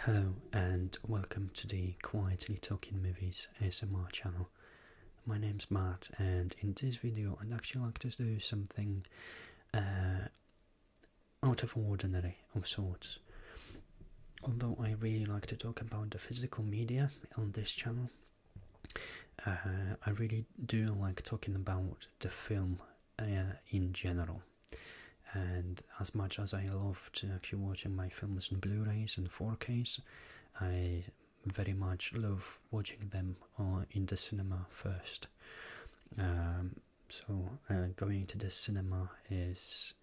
Hello and welcome to the Quietly Talking Movies ASMR channel video. My name's Matt, and in this video, I'd actually like to do something uh, out of ordinary of sorts. Although I really like to talk about the physical media on this channel, uh, I really do like talking about the film uh, in general. And as much as I love to actually watching my films in Blu-rays and 4Ks, I very much love watching them uh, in the cinema first. Um, so uh, going to the cinema is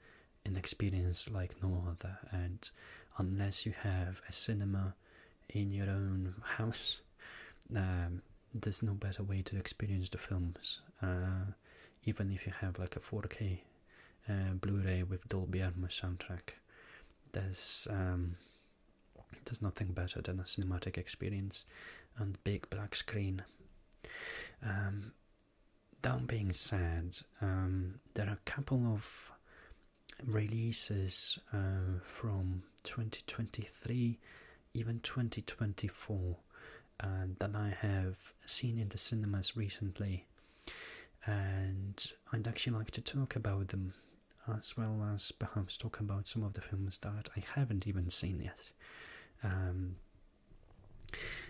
an experience like no other, and unless you have a cinema in your own house, um, there's no better way to experience the films. Uh, even if you have like a 4K uh, Blu-ray with Dolby Atmos soundtrack, there's um, there's nothing better than a cinematic experience and big black screen. Um, that being said, um, there are a couple of releases uh, from 2023, even 2024, uh, that I have seen in the cinemas recently and I'd actually like to talk about them as well as perhaps talk about some of the films that I haven't even seen yet. Um,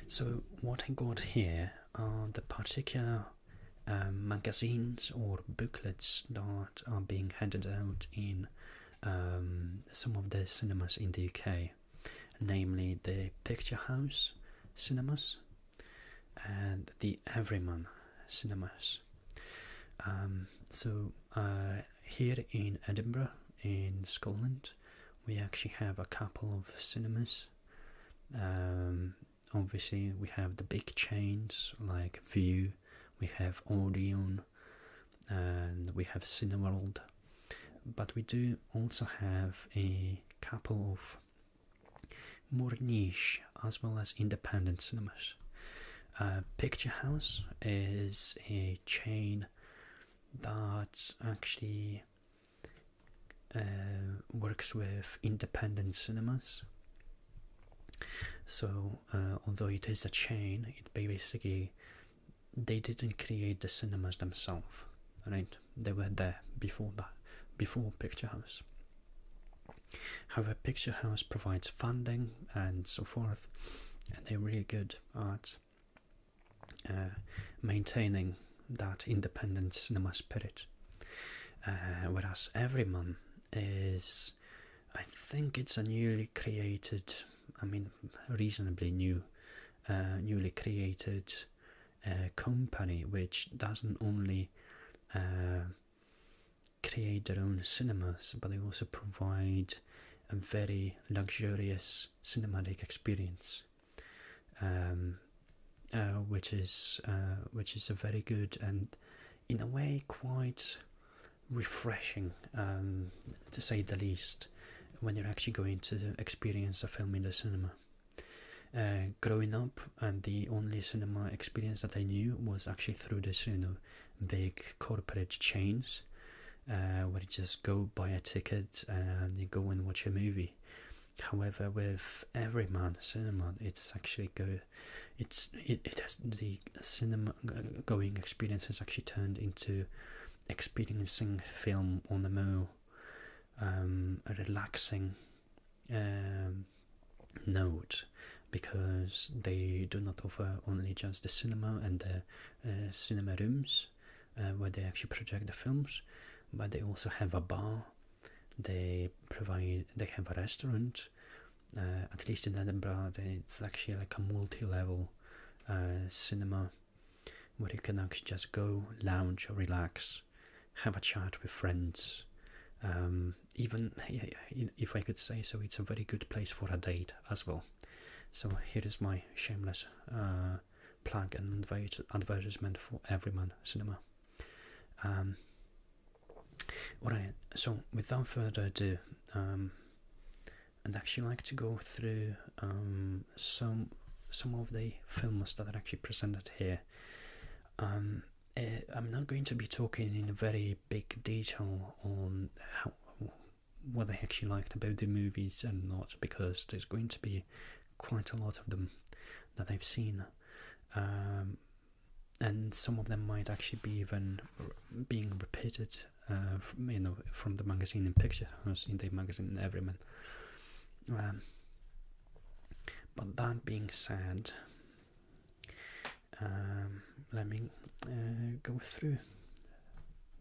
so, what I got here are the particular um, magazines or booklets that are being handed out in um, some of the cinemas in the UK, namely the Picture House cinemas and the Everyman Cinemas. Um, so uh, here in Edinburgh, in Scotland, we actually have a couple of cinemas. Um, obviously, we have the big chains like View, we have Odeon, and we have Cineworld. But we do also have a couple of more niche as well as independent cinemas. Uh, Picture House is a chain that actually uh, works with independent cinemas. So, uh, although it is a chain, it basically they didn't create the cinemas themselves, right? They were there before that, before Picture House. However, Picture House provides funding and so forth, and they're really good at uh, maintaining that independent cinema spirit. Uh, whereas Everyman is, I think it's a newly created, I mean, reasonably new, uh, newly created company which doesn't only create their own cinemas, but they also provide a very luxurious cinematic experience, um, uh, which is uh, which is a very good and, in a way, quite refreshing um, to say the least when you're actually going to experience a film in the cinema. Uh, growing up, and the only cinema experience that I knew was actually through this, you know, big corporate chains, uh, where you just go buy a ticket and you go and watch a movie. However, with every month Cinema, it's actually go, it's it, it has the cinema uh, going experience has actually turned into experiencing film on the move, um, relaxing um, note, because they do not offer only just the cinema and the uh, cinema rooms uh, where they actually project the films, but they also have a bar. They provide. They have a restaurant. Uh, at least in Edinburgh, it's actually like a multi-level cinema where you can actually just go, lounge, or relax, have a chat with friends. Um, even if I could say so, it's a very good place for a date as well. So here is my shameless uh, plug and advertisement for Everyman Cinema. Um, alright, so without further ado, um, I'd actually like to go through um, some some of the films that are actually presented here. Uh, I'm not going to be talking in very big detail on how, what I actually liked about the movies and not, because there's going to be quite a lot of them that I've seen. Um, and some of them might actually be even being repeated, uh, from, you know, from the magazine in Picture House, in the magazine Everyman. Um, but that being said, um, let me uh, go through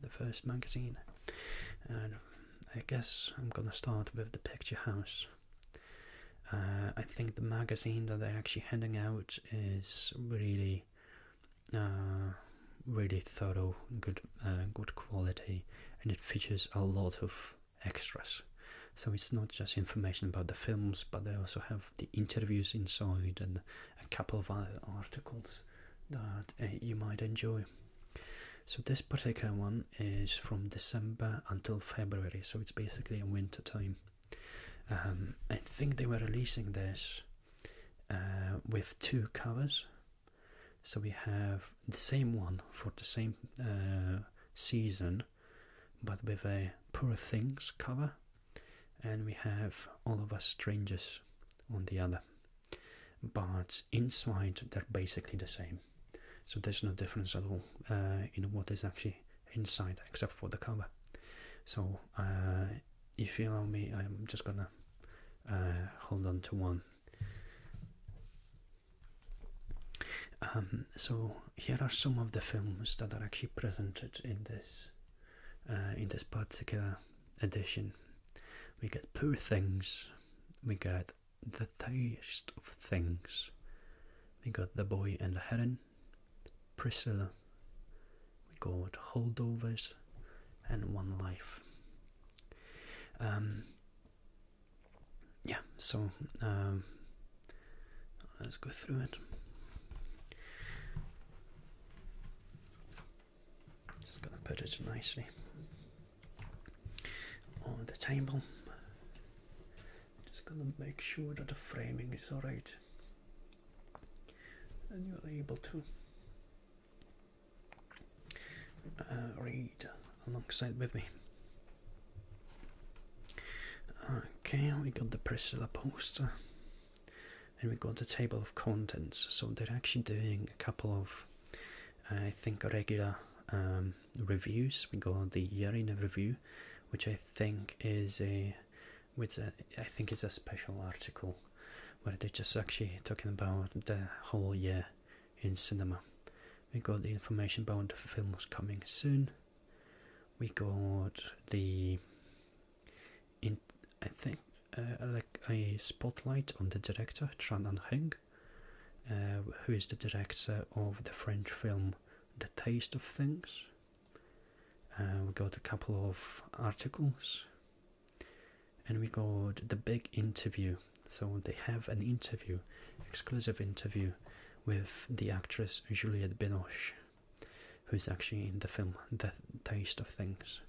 the first magazine, and I guess I'm gonna start with the picture house. Uh, I think the magazine that they're actually handing out is really, uh, really thorough, good, good quality, and it features a lot of extras. So it's not just information about the films, but they also have the interviews inside and a couple of other articles that uh, you might enjoy. So this particular one is from December until February, so it's basically a winter time. Um, I think they were releasing this uh, with two covers. So we have the same one for the same uh, season but with a Poor Things cover, and we have All of Us Strangers on the other. But inside, they're basically the same, so there's no difference at all uh, in what is actually inside except for the cover. So, uh, if you allow me, I'm just gonna uh, hold on to one. Um, so here are some of the films that are actually presented in this uh, in this particular edition. We get Poor Things, we get The Taste of Things, we got The Boy and the Heron, Priscilla, we got Holdovers, and One Life. Um, yeah, so um, let's go through it. Just gonna put it nicely on the table. Just gonna make sure that the framing is alright and you're able to uh, read alongside with me. Okay, we got the Priscilla poster. And we got the table of contents. So they're actually doing a couple of, I think, regular um, reviews. We got the Yarina review, which I think is a, which a, uh, I think is a special article, where they just actually talking about the whole year in cinema. We got the information about the films coming soon. We got the in I think uh, like a spotlight on the director Tran Anh Heng, uh, who is the director of the French film The Taste of Things. Uh, we got a couple of articles, and we got the big interview. So they have an interview, exclusive interview with the actress Juliette Binoche, who's actually in the film The Taste of Things.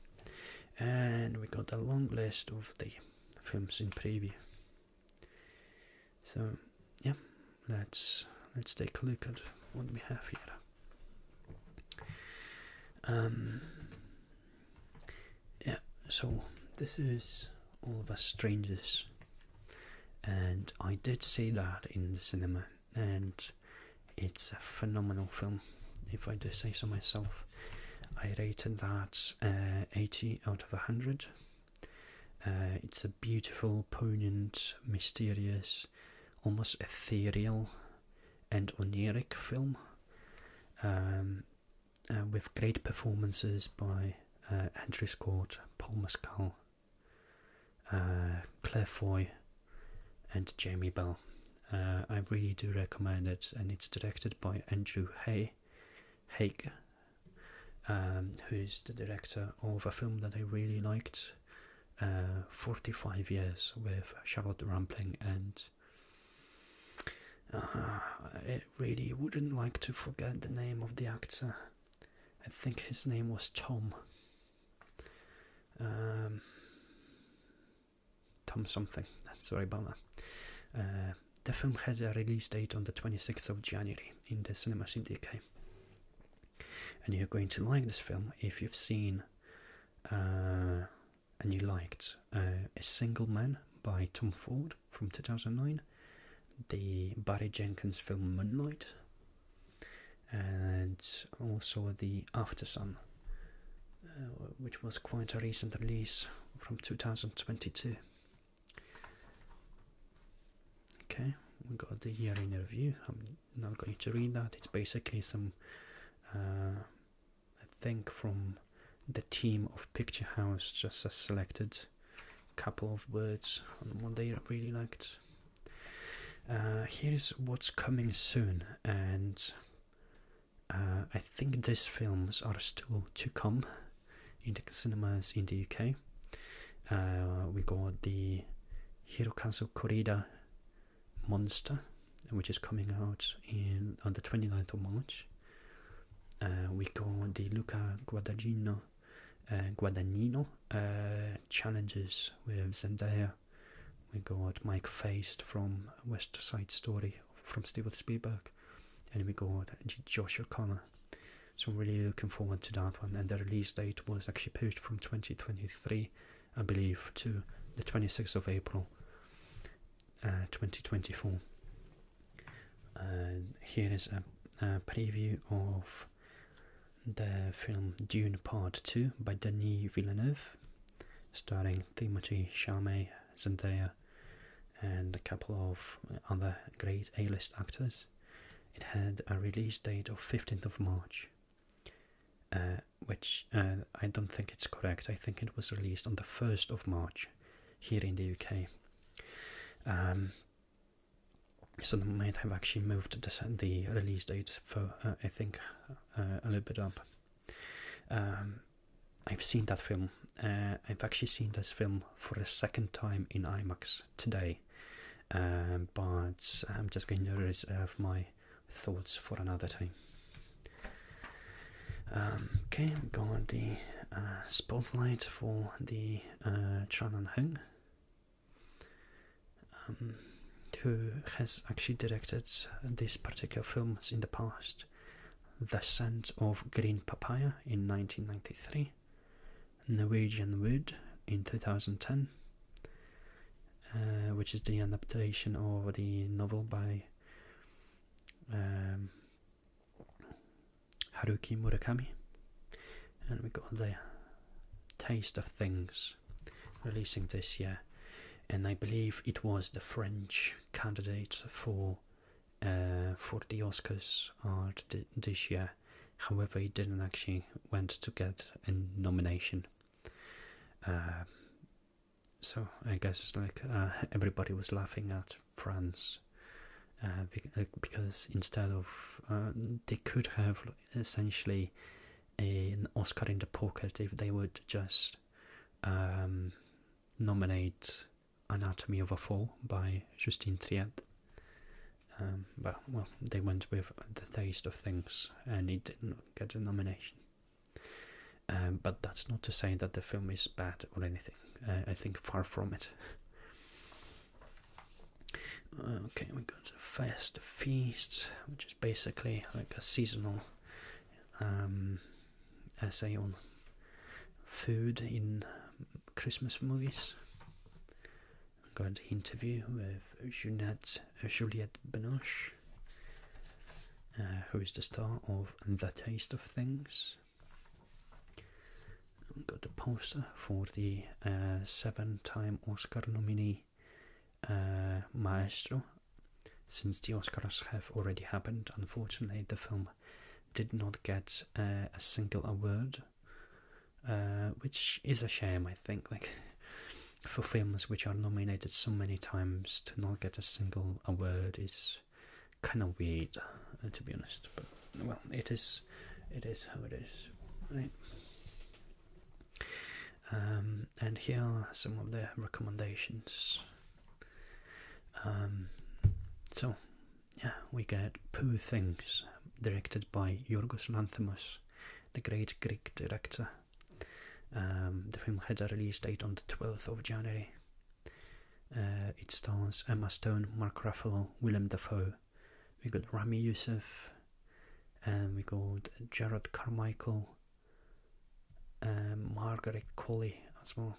And we got a long list of the films in preview. So, yeah, let's let's take a look at what we have here. Um, yeah, so this is all of us strangers. And I did see that in the cinema, and it's a phenomenal film, if I do say so myself. I rated that uh, 80 out of 100. Uh, it's a beautiful, poignant, mysterious, almost ethereal and oniric film um, uh, with great performances by Andrew Scott, Paul Mescal, uh, Claire Foy, and Jamie Bell. Uh, I really do recommend it, and it's directed by Andrew Hay, um, who's the director of a film that I really liked, uh, 45 Years with Charlotte Rampling, and uh, I really wouldn't like to forget the name of the actor I think his name was Tom. Um, Tom something. Sorry about that. Uh, the film had a release date on the 26th of January in the cinemas Cinema CDK. And you're going to like this film if you've seen uh, and you liked uh, A Single Man by Tom Ford from 2009, the Barry Jenkins film Moonlight, and also the After Sun, uh, which was quite a recent release from 2022. Okay, we got the year in review. I'm not going to read that. It's basically some, I uh, think, from the team of Picturehouse just as selected couple of words on what they really liked. Uh, here's what's coming soon, and uh, I think these films are still to come in the cinemas in the UK. Uh, we got the Hirokazu Korida Monster, which is coming out in on the 29th of March. we got the Luca Guadagnino uh, Guadagnino uh, challenges with Zendaya. We got Mike Feist from West Side Story from Steven Spielberg, and we got Josh O'Connor. So I'm really looking forward to that one. And the release date was actually pushed from 2023, I believe, to the 26th of April, uh, 2024. Uh, here is a, preview of the film Dune Part 2 by Denis Villeneuve, starring Timothy Chalamet, Zendaya, and a couple of other great A-list actors. It had a release date of 15th of March, uh, which uh, I don't think it's correct. I think it was released on the 1st of March here in the UK. Um, so they might have actually moved the release date for uh, I think uh, a little bit up. Um, I've seen that film. Uh, I've actually seen this film for a second time in IMAX today, um, but I'm just going to reserve my thoughts for another time. Um, okay, I've got the spotlight for the Tran and Hung um, who has actually directed these particular films in the past. The Scent of Green Papaya in 1993, Norwegian Wood in 2010, uh, which is the adaptation of the novel by um, Haruki Murakami, and we got the Taste of Things releasing this year, and I believe it was the French candidate for uh, for the Oscars art this year. However, it didn't actually went to get a nomination. Um, so I guess like uh, everybody was laughing at France. Uh, uh, because instead of uh, they could have essentially an Oscar in the pocket if they would just um, nominate Anatomy of a Fall by Justine Triet. Um, but well, they went with the taste of things, and it didn't get a nomination. Um, but that's not to say that the film is bad or anything. I think far from it. Uh, okay, we go to Fest Feasts, which is basically like a seasonal um, essay on food in um, Christmas movies. I'm going to interview with Juliette, uh, Juliette Binoche, uh, who is the star of The Taste of Things. We've got the poster for the uh, seven time Oscar nominee uh, Maestro. Since the Oscars have already happened, unfortunately, the film did not get uh, a single award, which is a shame, I think. Like, for films which are nominated so many times to not get a single award is kind of weird, to be honest. But well, it is it is how it is, right? Um, and here are some of the recommendations. Um, so, yeah, we get Poor Things, directed by Yorgos Lanthimos, the great Greek director. Um, the film had a release date on the 12th of January. Uh, it stars Emma Stone, Mark Ruffalo, Willem Dafoe, we got Rami Yusuf, and we got Jared Carmichael, and um, Margaret Colley as well.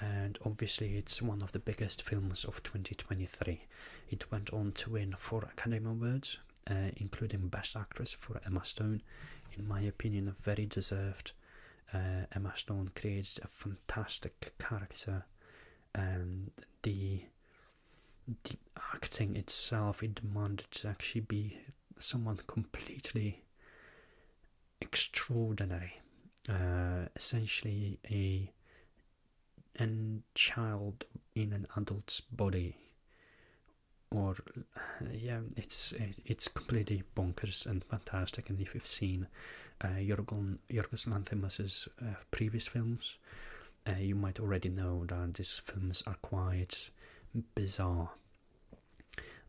And obviously, it's one of the biggest films of 2023. It went on to win four Academy Awards, uh, including Best Actress for Emma Stone. In my opinion, a very deserved. Uh, Emma Stone created a fantastic character and um, the the acting itself it demanded to actually be someone completely extraordinary uh, essentially a an child in an adult's body or uh, yeah it's it's completely bonkers and fantastic and if you've seen uh, Jorgen Yorgos Lanthimos' uh, previous films, uh, you might already know that these films are quite bizarre.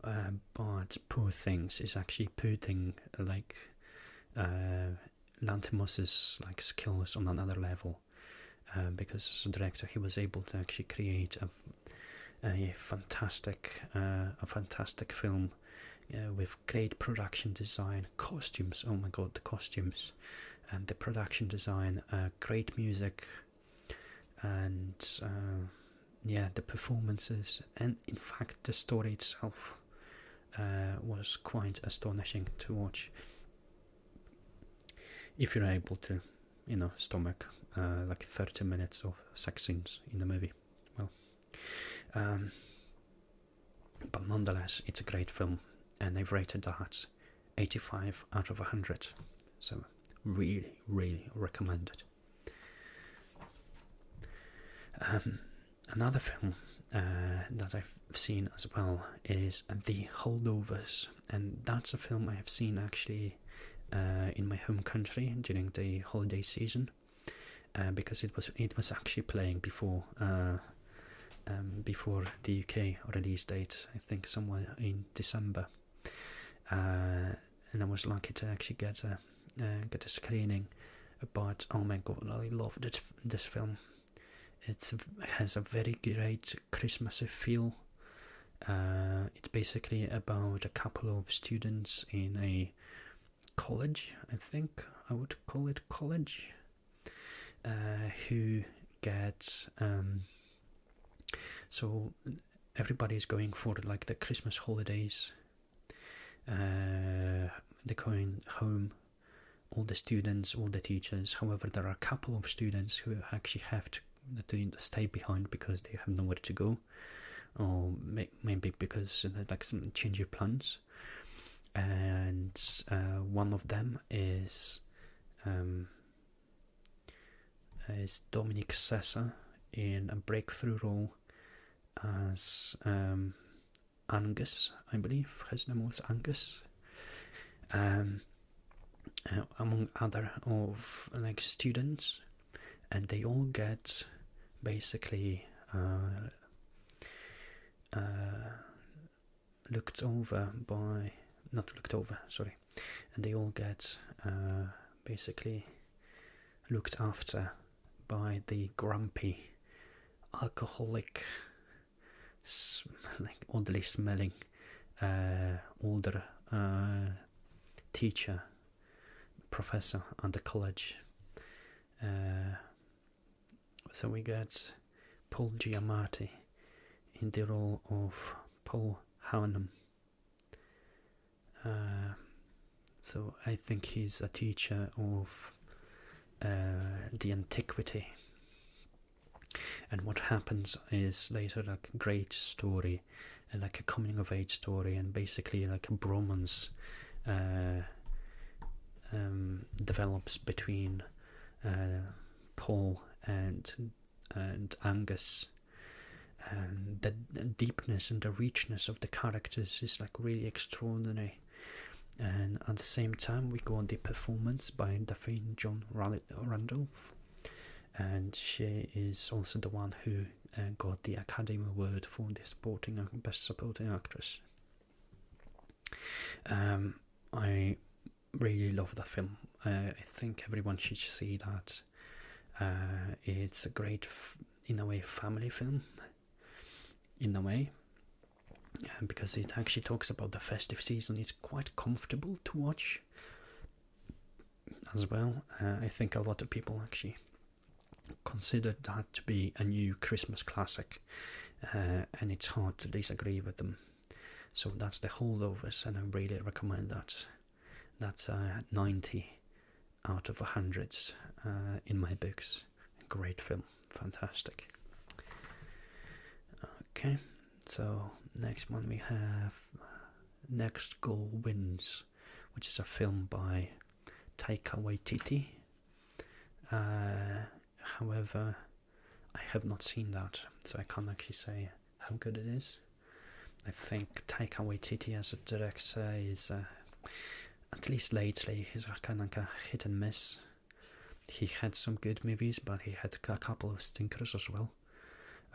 Uh, but Poor Things is actually putting like uh, Lanthimos's like skills on another level, because as a director he was able to actually create a a fantastic a fantastic film with great production design, costumes. Oh my god, the costumes and the production design, uh, great music, and uh, yeah, the performances, and in fact, the story itself uh, was quite astonishing to watch. If you're able to, you know, stomach like 30 minutes of sex scenes in the movie, well, um, but nonetheless, it's a great film, and they've rated that 85 out of 100. So, really, really recommend it. Um, another film uh, that I've seen as well is The Holdovers, and that's a film I have seen actually uh, in my home country during the holiday season. Uh, because it was it was actually playing before uh, um, before the UK release date. I think somewhere in December, uh, and I was lucky to actually get a get a screening. But oh my god, I loved this this film. it has a very great Christmassy feel. it's basically about a couple of students in a college, I think I would call it college, uh, who gets um, so everybody is going for like the Christmas holidays. Uh, they're going home, all the students, all the teachers. However, there are a couple of students who actually have to, stay behind because they have nowhere to go, or maybe because they like some change of plans and uh, one of them is um, is Dominic Sessa in a breakthrough role as um, Angus, I believe his name was Angus. Um, uh, among other of like students, and they all get basically uh, uh, looked over by not looked over sorry and they all get uh, basically looked after by the grumpy alcoholic like oddly smelling uh, older teacher professor at the college so we got Paul Giamatti in the role of Paul Hanum. Uh, so I think he's a teacher of uh, the antiquity. And what happens is later like a great story, like a coming of age story, and basically like a bromance um, develops between uh, Paul and and Angus. Um, the, deepness and the richness of the characters is like really extraordinary. And at the same time, we got the performance by Daphne John Randolph, and she is also the one who uh, got the Academy Award for the supporting uh, best supporting actress. Um, I really love that film. Uh, I think everyone should see that. Uh, it's a great, in a way, family film. In a way, uh, because it actually talks about the festive season. It's quite comfortable to watch as well. I think a lot of people actually considered that to be a new Christmas classic, uh, and it's hard to disagree with them. So that's the whole of us, and I really recommend that. That's uh, 90 out of hundreds uh, in my books. Great film, fantastic. Okay, so next one we have Next Goal Wins, which is a film by Taika Waititi. Uh, however, I have not seen that, so I can't actually say how good it is. I think Taika Waititi as a director is, uh, at least lately, he's kind of like a hit and miss. He had some good movies, but he had a couple of stinkers as well.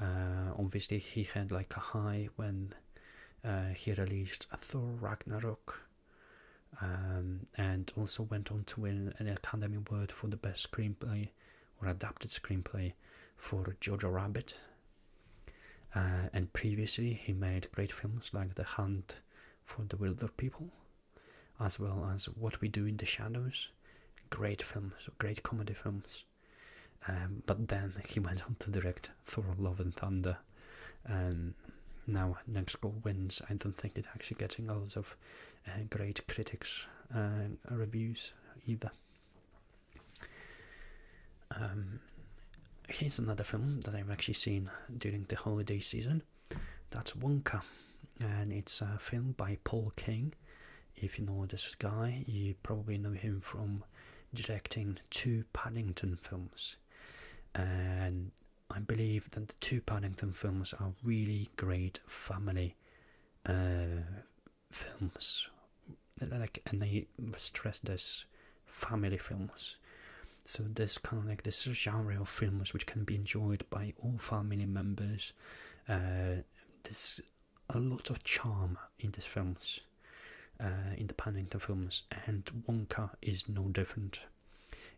Uh, obviously, he had like a high when uh, he released Thor Ragnarok, um, and also went on to win an Academy Award for the best screenplay or adapted screenplay for Jojo Rabbit. Uh, and previously, he made great films like The Hunt for the Wilder People, as well as What We Do in the Shadows. Great films, great comedy films. Um, but then he went on to direct Thor: Love and Thunder, um, now, goal wins. I don't think it's actually getting a lot of uh, great critics and uh, reviews either. Um, here's another film that I've actually seen during the holiday season. That's Wonka, and it's a film by Paul King. If you know this guy, you probably know him from directing two Paddington films. And I believe that the two Paddington films are really great family uh, films, like and they stress this family films. So this kind of like this genre of films which can be enjoyed by all family members. Uh, there's a lot of charm in these films, uh, in the Paddington films, and Wonka is no different.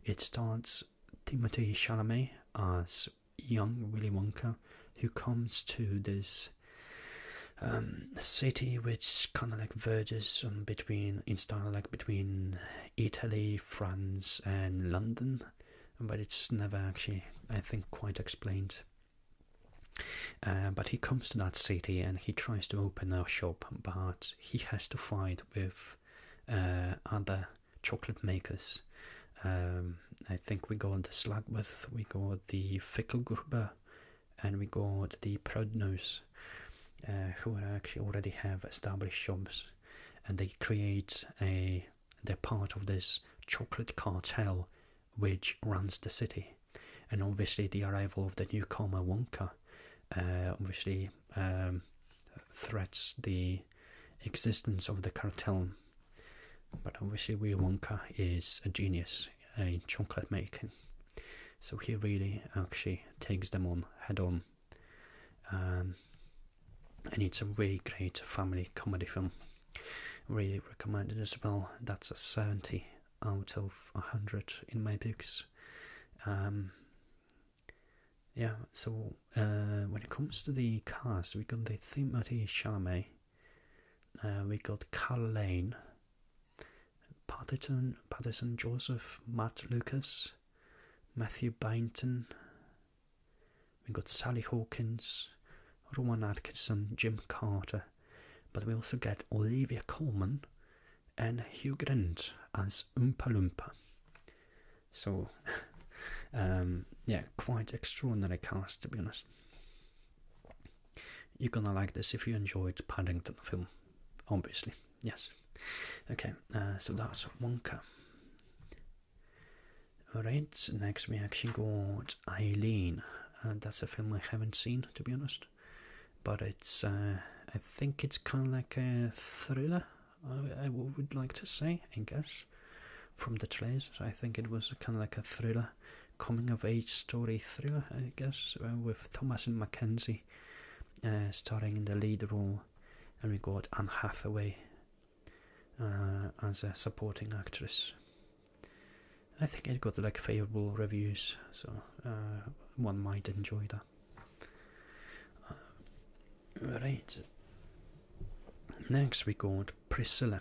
It starts Timothy Chalamet as young Willy Wonka, who comes to this um, city which kind of like verges between, in style like between Italy, France, and London, but it's never actually, I think, quite explained. Uh, but he comes to that city and he tries to open a shop, but he has to fight with uh, other chocolate makers. Um, I think we got the Slagworth, we got the Fickelgruber, and we got the Proudnose, uh, who actually already have established shops, and they create a they're part of this chocolate cartel which runs the city. And obviously, the arrival of the newcomer Wonka uh, obviously um, threats the existence of the cartel. But obviously, Willy Wonka is a genius in chocolate making, so he really actually takes them on head on. Um, and it's a really great family comedy film. Really recommended as well. That's a 70 out of 100 in my books. Um, yeah, so uh, when it comes to the cast, we got the Timothy Chalamet, uh, we got Carl Lane, Patterson, Patterson Joseph, Matt Lucas, Matthew Bainton, we got Sally Hawkins, Rowan Atkinson, Jim Carter, but we also get Olivia Coleman, and Hugh Grant as Oompa Loompa. So, um, yeah, quite extraordinary cast to be honest. You're gonna like this if you enjoyed Paddington film, obviously. Yes. Okay, uh, so that's Wonka. Alright, next we actually got Eileen. Uh, that's a film I haven't seen to be honest but it's uh, I think it's kind of like a thriller. I, would like to say, I guess, from the trailers, I think it was kind of like a thriller, coming of age story thriller, I guess, uh, with Thomas and Mackenzie uh, starring in the lead role, and we got Anne Hathaway as a supporting actress. I think it got like favorable reviews, so one might enjoy that. America. Uh, right. Next we got Priscilla.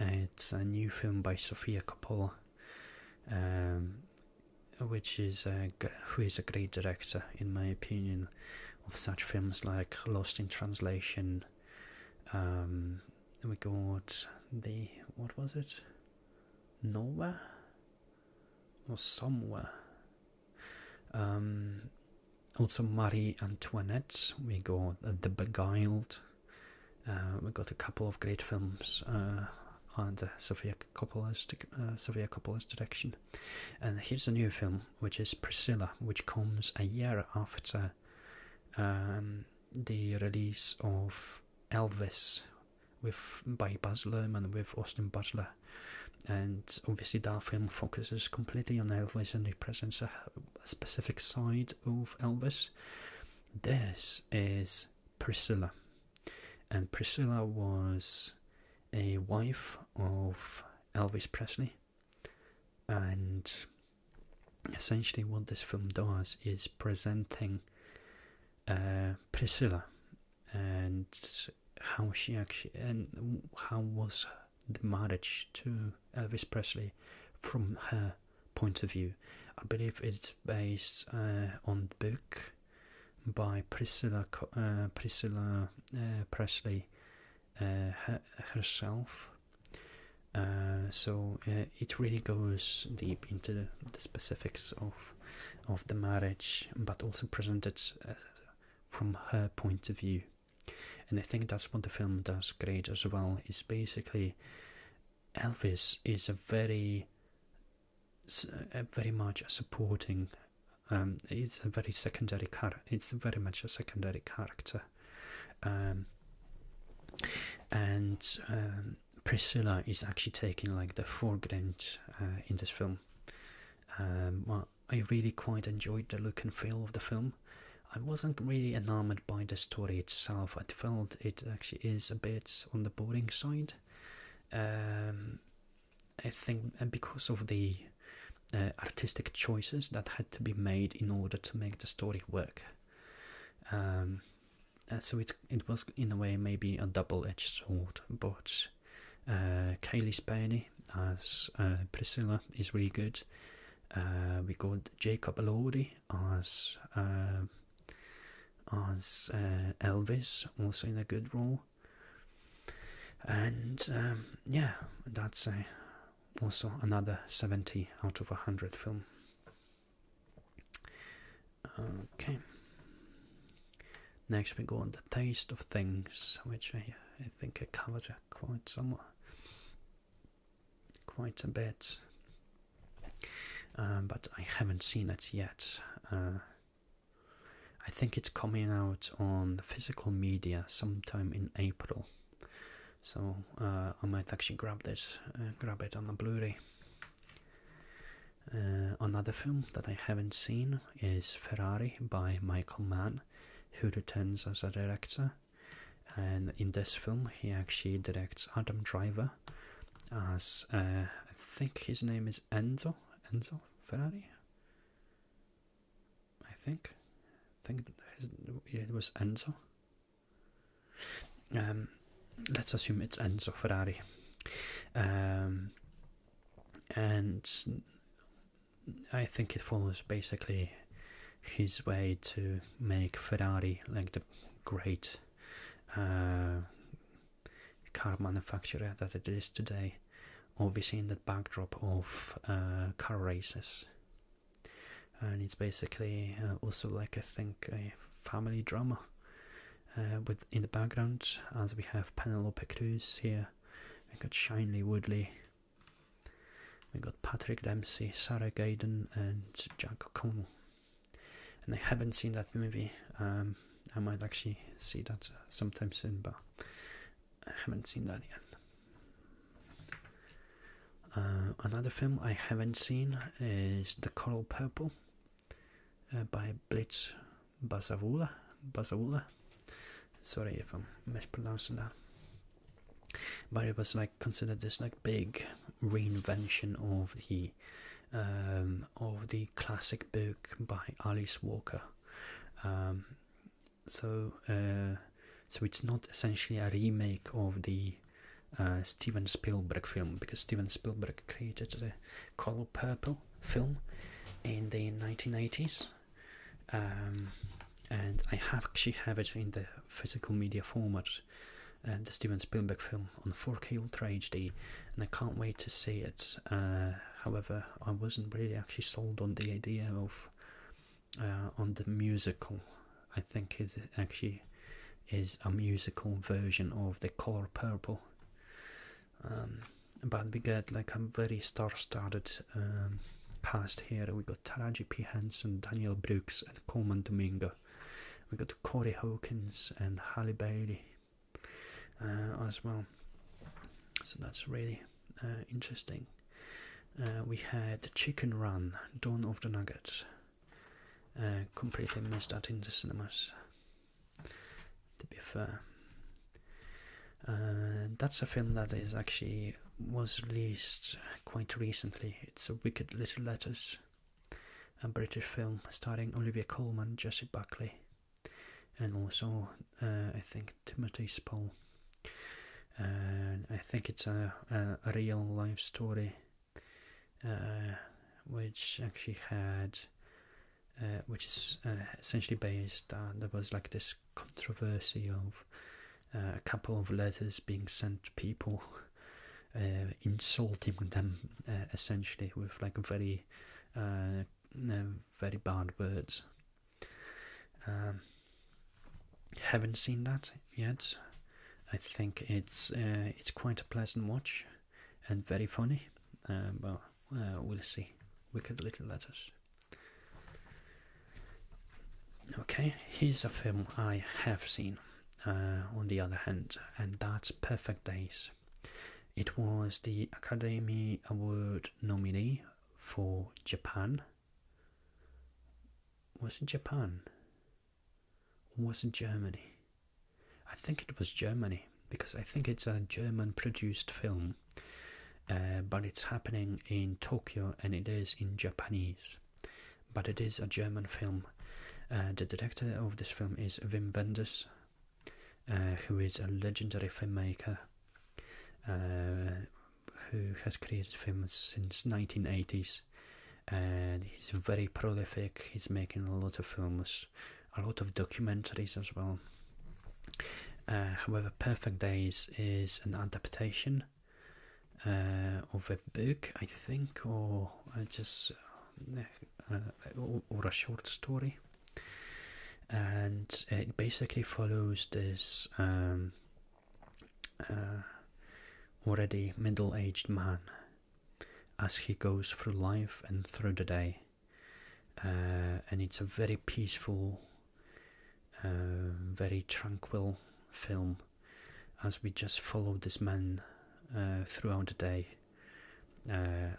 It's a new film by Sofia Coppola, um, which is a, who is a great director in my opinion of such films like Lost in Translation. Um, we got the what was it? Nova or somewhere. Um, also, Marie Antoinette, we got The Beguiled, uh, we got a couple of great films uh, under uh, Sofia Coppola's, direction. And here's a new film, which is Priscilla, which comes a year after um, the release of Elvis, with by Baz Luhrmann with Austin Butler, and obviously that film focuses completely on Elvis and represents a, a specific side of Elvis. This is Priscilla, and Priscilla was a wife of Elvis Presley, and essentially what this film does is presenting uh, Priscilla and how she actually and how was the marriage to Elvis Presley from her point of view. I believe it's based uh, on the book by Priscilla uh, Priscilla uh, Presley herself. so it really goes deep into the specifics of of the marriage, but also presented uh, from her point of view. And I think that's what the film does great as well. Is basically Elvis is a very, uh, very much a supporting. Um, it's a very secondary character. It's very much a secondary character. Um, and um, Priscilla is actually taking like the foreground uh, in this film. Um, well, I really quite enjoyed the look and feel of the film. I wasn't really enamored by the story itself. I felt it actually is a bit on the boring side. Um, I think because of the uh, artistic choices that had to be made in order to make the story work. Um, uh, so it it was in a way maybe a double edged sword, but good. Uh, Kylie Spenny as uh, Priscilla is really good. Uh, we got Jacob Elordi as um, as uh, Elvis, also in a good role. And um, yeah, that's also another 70 out of 100 film. Okay. Next we go on the taste of things, which I, think I covered quite somewhat, quite a bit. Um, but I haven't seen it yet. Uh, I think it's coming out on physical media sometime in April, so uh, I might actually grab this, uh, grab it on the Blu-ray. Uh, another film that I haven't seen is Ferrari by Michael Mann, who returns as a director. And in this film, he actually directs Adam Driver as uh, I think his name is Enzo Enzo Ferrari. I think, think it was Enzo. Um, let's assume it's Enzo Ferrari. Um, and I think it follows basically his way to make Ferrari like the great uh, car manufacturer that it is today, obviously in the backdrop of uh, car races. And it's basically uh, also like I think a family drama uh, with in the background, as we have Penelope Cruz here. We got Shinley Woodley. We got Patrick Dempsey, Sarah Gayden, and Jack O'Connell. And I haven't seen that movie. Um, I might actually see that sometime soon, but I haven't seen that yet. Uh, another film I haven't seen is The Coral Purple uh, by Blitz Basavula, Basavula. Sorry if I'm mispronouncing that. But it was like considered this like big reinvention of the um, of the classic book by Alice Walker. Um, so uh, so it's not essentially a remake of the uh, Steven Spielberg film because Steven Spielberg created the color purple film in the 1980s. Um, and I actually have it in the physical media format, uh, the Steven Spielberg film on 4K Ultra HD, and I can't wait to see it. Uh, however, I wasn't really actually sold on the idea of uh, on the musical. I think it actually is a musical version of the Color Purple. Um, but we get like a very star-studded um, cast here. We got Taraji P. Henson, Daniel Brooks, and Coleman Domingo. We got Corey Hawkins and Halle Bailey uh, as well. So that's really uh, interesting. Uh, we had Chicken Run, Dawn of the Nuggets. completely missed that in the cinemas to be fair. Uh, that's a film that is actually was released quite recently. It's a Wicked Little Letters, a British film starring Olivia Colman, Jesse Buckley, and also uh, I think Timothy Spall. And I think it's a, a, real life story, uh, which actually had uh, which is uh, essentially based on uh, there was like this controversy of a couple of letters being sent to people, insulting them essentially with like very, very bad words. Um, haven't seen that yet. I think it's it's quite a pleasant watch and very funny. well, we'll see. Wicked Little Letters. Okay, here's a film I have seen, uh, on the other hand, and that's Perfect Days. It was the Academy Award nominee for Japan. Was it Japan? Was it Germany? I think it was Germany because I think it's a German produced film, uh, but it's happening in Tokyo and it is in Japanese. But it is a German film. Uh, the director of this film is Wim Wenders, uh, who is a legendary filmmaker who has created films since 1980s and he's very prolific he's making a lot of films a lot of documentaries as well. Uh, however, Perfect Days is an adaptation uh, of a book, I think, or uh, just or, a short story, and it basically follows this um, already middle-aged man as he goes through life and through the day uh, and it's a very peaceful, uh, very tranquil film as we just follow this man uh, throughout the day.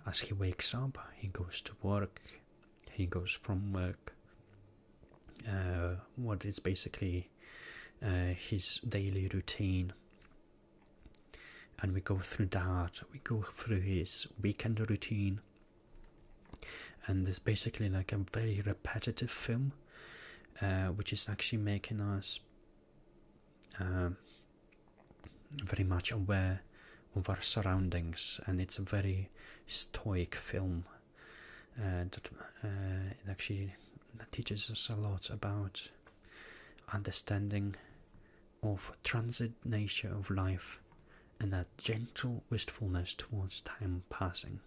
as he wakes up, he goes to work, he goes from work. what is basically his daily routine and we go through that, we go through his weekend routine, and there's basically like a very repetitive film, uh, which is actually making us um, very much aware of our surroundings, and it's a very stoic film uh, that uh, it actually teaches us a lot about understanding of transit nature of life and that gentle wistfulness towards time passing.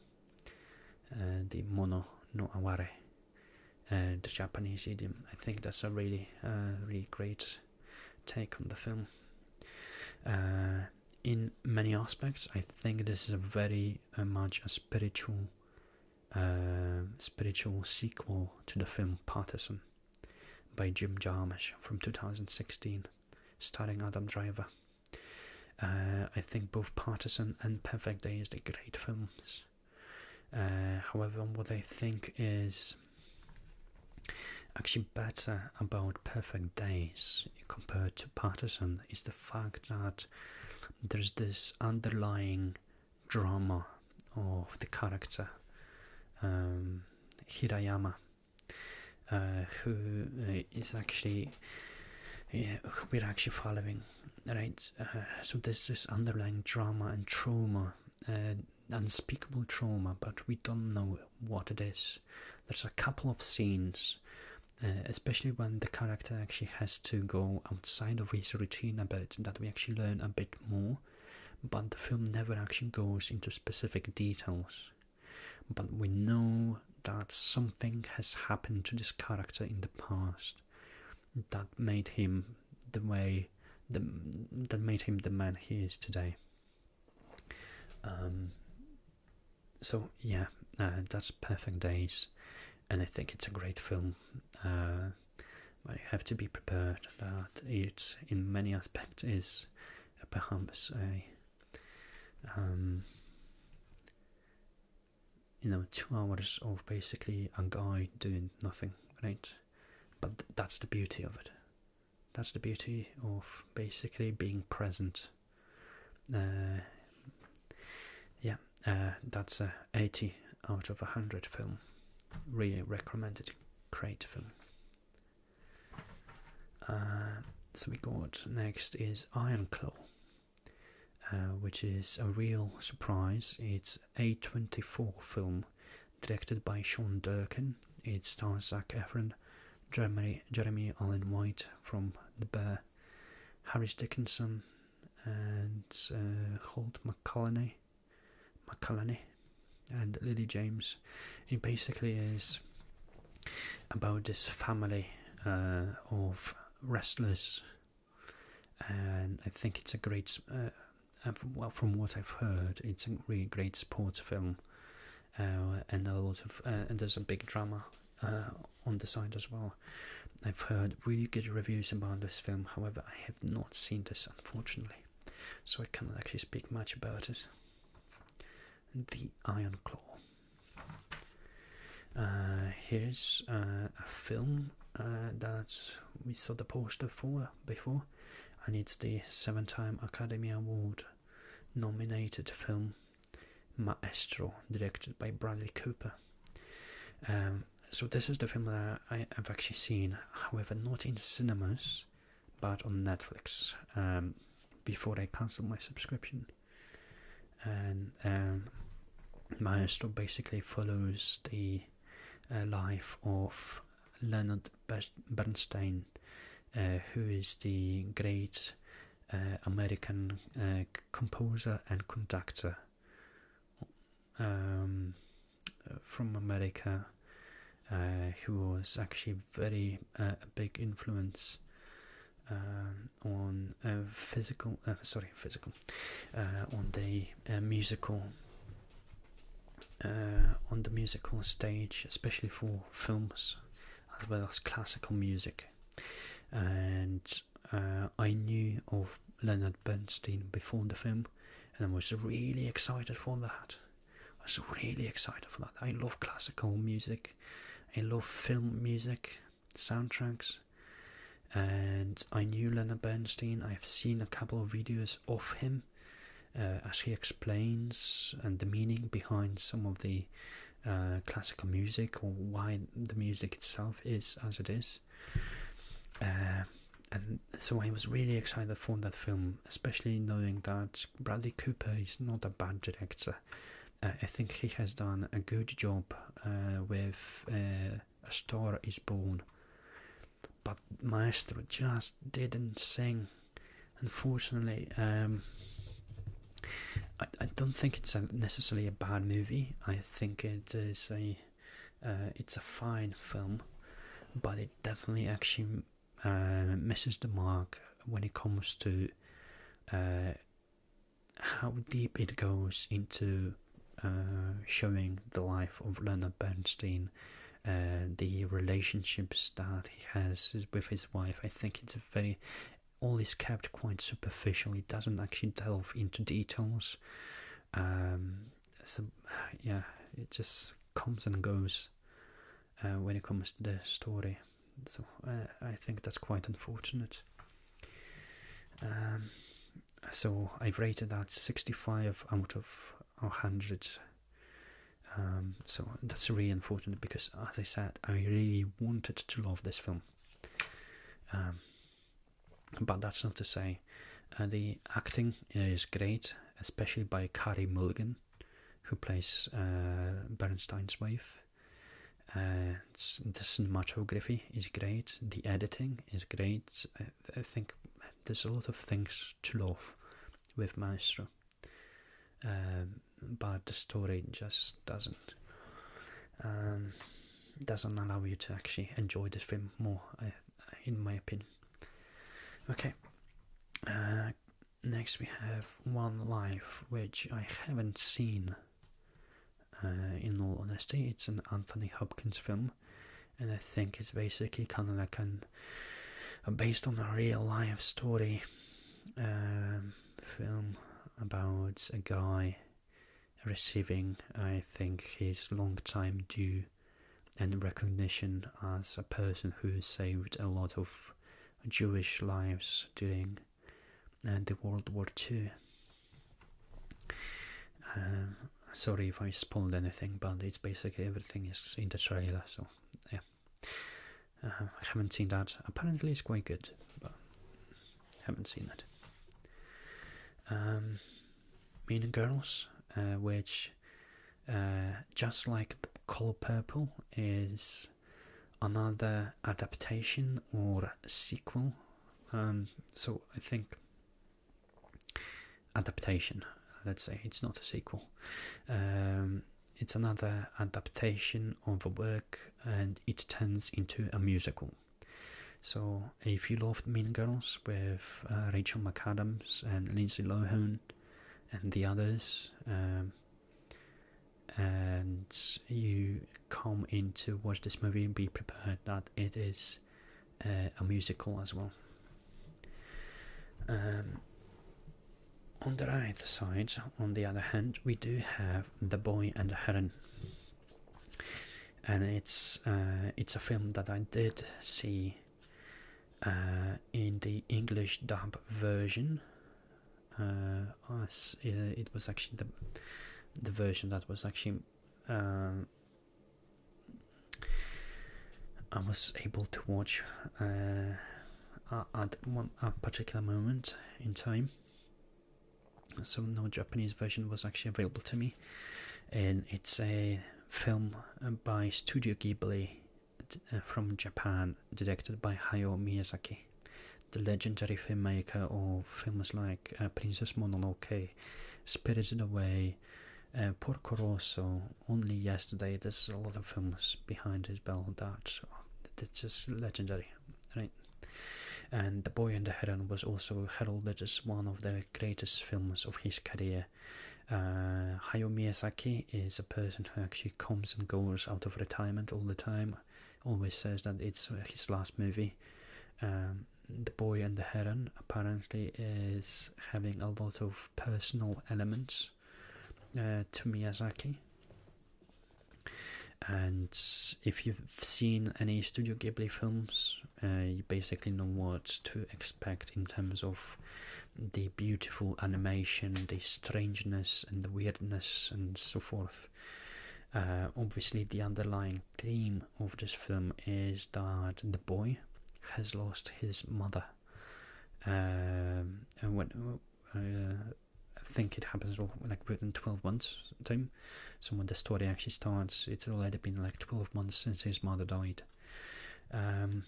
Uh, the mono no aware, uh, the Japanese idiom. I think that's a really, uh, really great take on the film. in many aspects, I think this is a very much a spiritual, spiritual sequel to the film Paterson by Jim Jarmusch from 2016, starring Adam Driver. Uh, I think both Partisan and Perfect Days are great films. Uh, however, what I think is actually better about Perfect Days compared to Partisan is the fact that there's this underlying drama of the character. Um, Hirayama, uh, who uh, is actually who we're actually following, right? Uh, so there's this underlying drama and trauma, uh, unspeakable trauma, but we don't know what it is. There's a couple of scenes. especially when the character actually has to go outside of his routine a bit, that we actually learn a bit more but the film never actually goes into specific details. But we know that something has happened to this character in the past that made him the way that made him the man he is today. Um, so yeah, uh, that's Perfect Days, and I think it's a great film. Uh, but you have to be prepared that it, in many aspects, is perhaps a um, you know two hours of basically a guy doing nothing, right? But that's the beauty of it. That's the beauty of basically being present. Uh, yeah, uh, that's a 80 out of 100 film. Really recommended. Cratevin. film. Uh, so we got next is Ironclaw, uh, which is a real surprise. It's a 24 film directed by Sean Durkin. It stars Zach Efron, Jeremy, Jeremy Allen White from The Bear, Harris Dickinson, and uh, Holt McCallany. McCullany and Lily James. It basically is about this family uh, of wrestlers, and I think it's a great. Uh, well, from what I've heard, it's a really great sports film, uh, and a lot of and there's a big drama on the side as well. I've heard really good reviews about this film. However, I have not seen this unfortunately so I cannot actually speak much about it. the Iron Claw. Uh, here's uh, a film uh, that we saw the poster for before, and it's the seven-time Academy Award nominated film Maestro, directed by Bradley Cooper. Um, so this is the film that I have actually seen, however, not in cinemas. But on Netflix um, before they cancelled my subscription. And um, my story basically follows the uh, life of Leonard Bernstein, uh, who is the great uh, American composer and conductor. Um, from America uh, who was actually very uh, a big influence um, on uh, physical sorry physical on the musical on the musical stage, especially for films as well as classical music. And I knew of Leonard Bernstein before the film, and I was really excited for that. I was really excited for that. I love classical music, I love film music, soundtracks, and I knew Leonard Bernstein. I've seen a couple of videos of him uh, as he explains and the meaning behind some of the uh, classical music or why the music itself is as it is. Uh, and so I was really excited for that film, especially knowing that Bradley Cooper is not a bad director. Uh, I think he has done a good job uh, with uh, A Star Is Born, but Maestro just didn't sing. Unfortunately, um, I, I don't think it's necessarily a bad movie. I think it is a uh, it's a fine film, but it definitely actually uh, misses the mark when it comes to uh, how deep it goes into showing the life of Leonard Bernstein. the relationships that he has with his wife, I think it's very all is kept quite superficial. It doesn't actually delve into details. Um, so uh, yeah, it just comes and goes uh, when it comes to the story. So uh, I think that's quite unfortunate. Um, so I've rated that 65 out of 100. Um, so that's really unfortunate because, as I said, I really wanted to love this film. Um, but that's not to say uh, the acting is great, especially by Carrie Mulligan, who plays uh, Bernstein's wife. Uh, the cinematography is great. The editing is great. I, think there's a lot of things to love with Maestro, um, but the story just doesn't um, doesn't allow you to actually enjoy the film more. in my opinion. Okay. Uh, next we have One Life, which I haven't seen. Uh, in all honesty, it's an Anthony Hopkins film, and I think it's basically kind of like an uh, based on a real life story um, film about a guy receiving, I think, his long time due and recognition as a person who saved a lot of Jewish lives during uh, the World War II. Um, sorry if I spoiled anything, but it's basically everything is in the trailer, so yeah. Um, I haven't seen that. Apparently, it's quite good, but haven't seen that. Um, mean Girls, uh, which uh, just like the color purple is another adaptation or sequel. Um, so I think adaptation. Let's say it's not a sequel. Um, it's another adaptation of the work, and it turns into a musical. So if you loved Mean Girls, we've. Uh, Rachel McAdams and Lindsay Lohan and the others. Um, and you come in to watch this movie and be prepared that it is uh, a musical as well. Um, on the right side, on the other hand, we do have The Boy and the Heron. And it's uh, it's a film that I did see uh, in the English dub version, uh, uh, it was actually the the version that was actually um, I was able to watch uh, at one particular moment in time. So no Japanese version was actually available to me, and it's a film by Studio Ghibli uh, from Japan, directed by Hayao Miyazaki, the legendary filmmaker of films like uh, Princess Mononoke, Spirited Away, uh, Porco Rosso, Only Yesterday. There's a lot of films behind his belt That's just legendary, right? And The Boy and the Heron was also heralded as one of the greatest films of his career. Uh, Hayao Miyazaki is a person who actually comes and goes out of retirement all the time, always says that it's uh, his last movie. Um, the Boy and the Heron apparently is having a lot of personal elements uh, to Miyazaki. And if you've seen any Studio Ghibli films, uh, you basically know what to expect in terms of the beautiful animation, the strangeness, and the weirdness, and so forth. Uh, obviously, the underlying theme of this film is that the boy has lost his mother. Um, uh, I think it happens like within 12 months time. So when the story actually starts, it's already been like 12 months since his mother died. Um,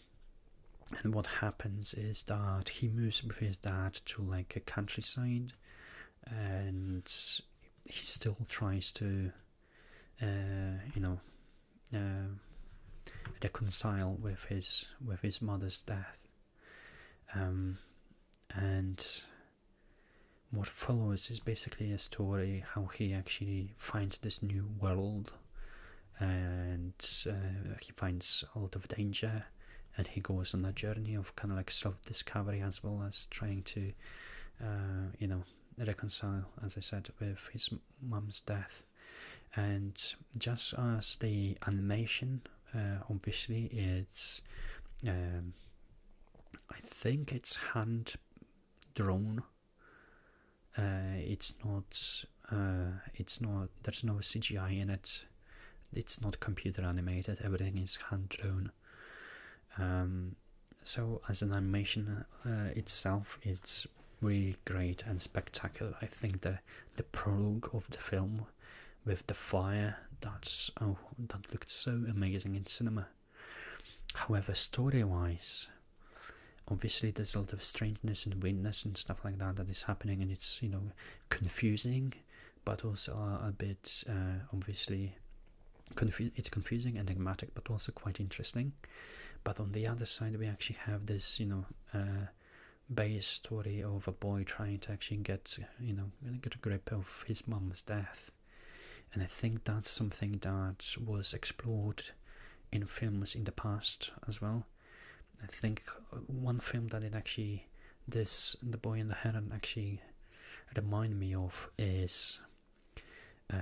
and what happens is that he moves with his dad to like a countryside and he still tries to uh, you know uh, reconcile with his with his mother's death um, and what follows is basically a story how he actually finds this new world and uh, he finds a lot of danger and he goes on a journey of kind of like self-discovery as well as trying to uh, you know reconcile as i said with his mom's death and just as the animation uh, obviously it's um, i think it's hand drawn uh, it's not. Uh, it's not. There's no CGI in it. It's not computer animated. Everything is hand drawn. Um, so as an animation uh, itself, it's really great and spectacular. I think the the prologue of the film with the fire that's oh that looked so amazing in cinema. However, story wise, obviously there's a lot of strangeness and weirdness and stuff like that that is happening and it's you know confusing but also a bit uh, obviously it's confusing enigmatic but also quite interesting but on the other side we actually have this you know uh, base story of a boy trying to actually get you know get a grip of his mom's death and i think that's something that was explored in films in the past as well. I think one film that it actually this the boy in the heron actually remind me of is uh,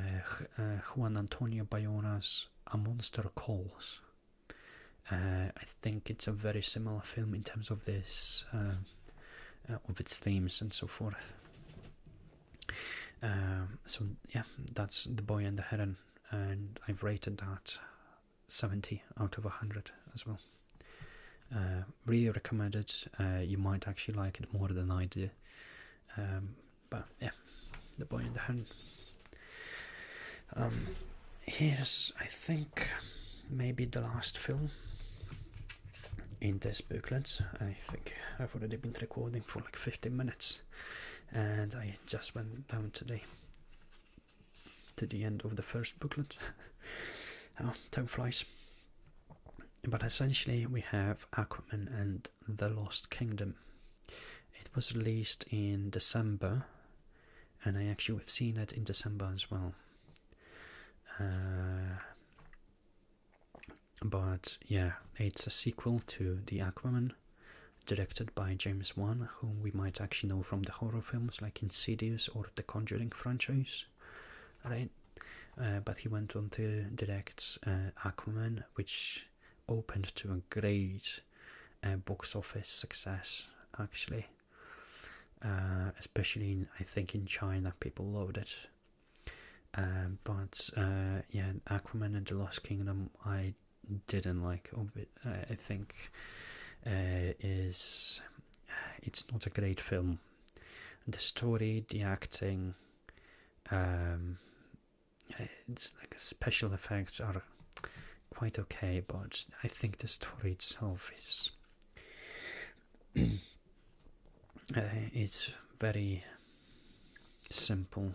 uh, Juan Antonio Bayona's A Monster Calls. Uh, I think it's a very similar film in terms of this, of its themes and so forth. Um, so yeah, that's the boy and the heron, and I've rated that 70 out of 100 as well. Uh, really recommended. Uh, you might actually like it more than I do. Um, but yeah, the boy and the heron. Um, here's, I think, maybe the last film in this booklets. I think I've already been recording for like 15 minutes and I just went down today to the end of the first booklet. oh, time flies. But essentially, we have Aquaman and the Lost Kingdom. It was released in December, and I actually have seen it in December as well. Uh, but yeah, it's a sequel to The Aquaman, directed by James Wan, whom we might actually know from the horror films like Insidious or The Conjuring franchise, right? Uh, but he went on to direct uh, Aquaman, which opened to a great uh, box office success, actually. especially I think, in China, people loved it. Um, but uh, yeah, Aquaman and the Lost Kingdom, I didn't like. I think uh, is uh, it's not a great film. The story, the acting, um, it's like special effects are quite okay, but I think the story itself is uh, it's very simple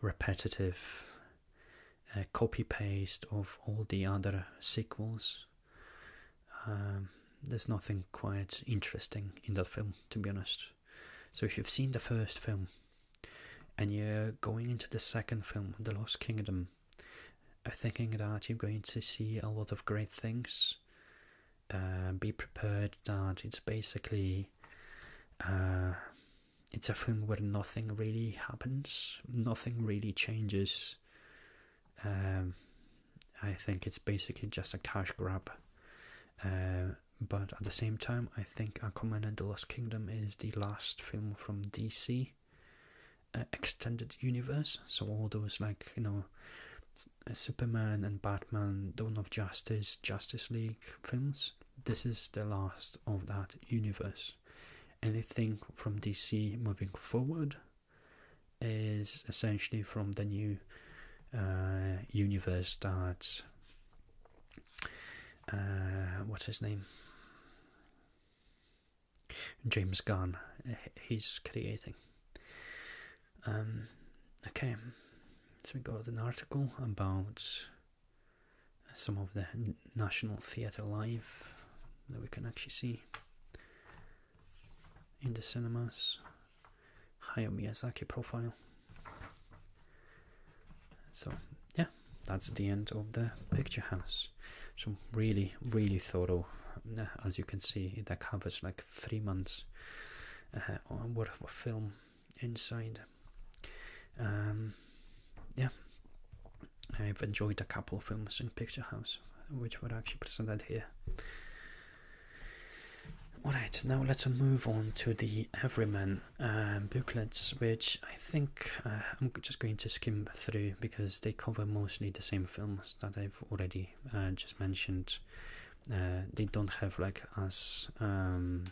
repetitive uh, copy paste of all the other sequels. Um, there's nothing quite interesting in that film, to be honest. So if you've seen the first film and you're going into the second film, The Lost Kingdom, thinking that you're going to see a lot of great things. Uh, be prepared that it's basically uh, it's a film where nothing really happens, nothing really changes. Um, I think it's basically just a cash grab. Uh, but at the same time, I think Aquaman and the Lost Kingdom is the last film from DC uh, extended universe. So all those like you know, Superman and Batman, Dawn of Justice, Justice League films this is the last of that universe. Anything from DC moving forward is essentially from the new uh, universe that uh, what's his name James Gunn eh, he's creating. Um, okay, so we got an article about some of the National Theatre Live that we can actually see in the cinemas. Hayao Miyazaki profile. So, yeah, that's the end of the picture house. So, really, really thorough. As you can see, that covers like three months uh, whatever film inside. Um, yeah, I've enjoyed a couple of films in Picture House, which were actually presented here. Alright, now let's move on to the Everyman um, booklets, which I think uh, I'm just going to skim through because they cover mostly the same films that I've already uh, just mentioned. Uh, they don't have like as um,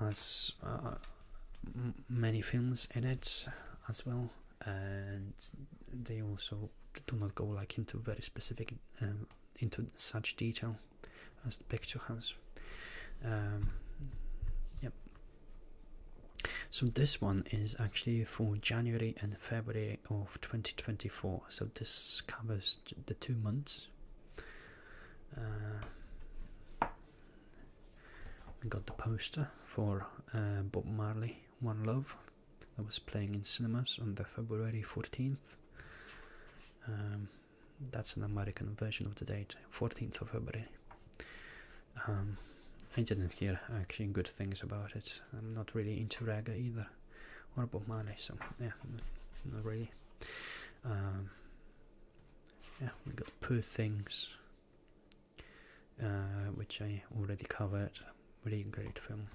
as uh, many films in it as well, and they also do not go like into very specific um, into such detail as the picture has. Um, yep. So this one is actually for January and February of 2024. So this covers the two months. Uh, got the poster for uh, Bob Marley One Love that was playing in cinemas on the February 14th. Um, that's an American version of the date, 14th of February. Um, I didn't hear actually good things about it. I'm not really into reggae either a horrible money? so yeah, not really. Um, yeah, we got Poor Things, uh, which I already covered. Really great film.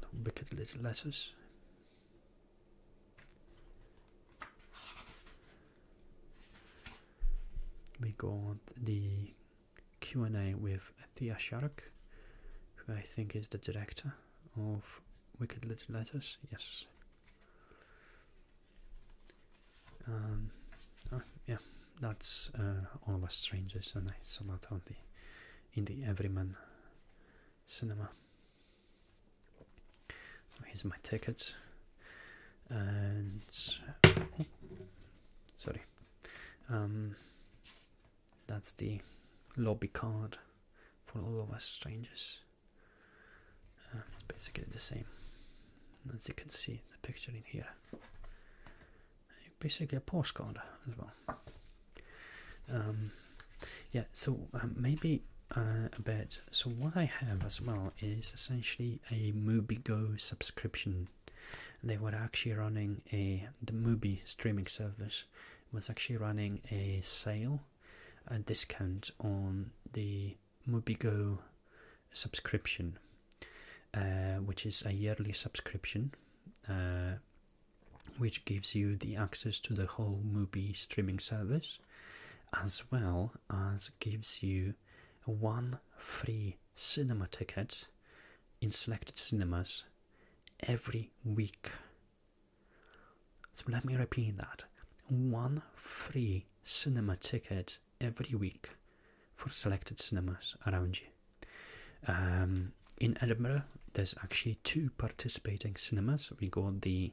Got Wicked Little Letters. We got the Q&A with Thea Sharuk, who I think is the director of Wicked Little Letters. Yes. Um, oh, yeah, that's uh, All of Us Strangers, and I saw that on the in the Everyman cinema. So here's my tickets and sorry, um, that's the lobby card for all of us strangers. Uh, basically the same, as you can see the picture in here. Basically a postcard as well. Um, yeah, so um, maybe uh, a bit. So what I have as well is essentially a MovieGo subscription they were actually running a the movie streaming service was actually running a sale, a discount on the Go subscription, uh, which is a yearly subscription, uh, which gives you the access to the whole movie streaming service, as well as gives you one free cinema ticket in selected cinemas every week. So let me repeat that one free cinema ticket every week for selected cinemas around you. Um, in Edinburgh, there's actually two participating cinemas. We got the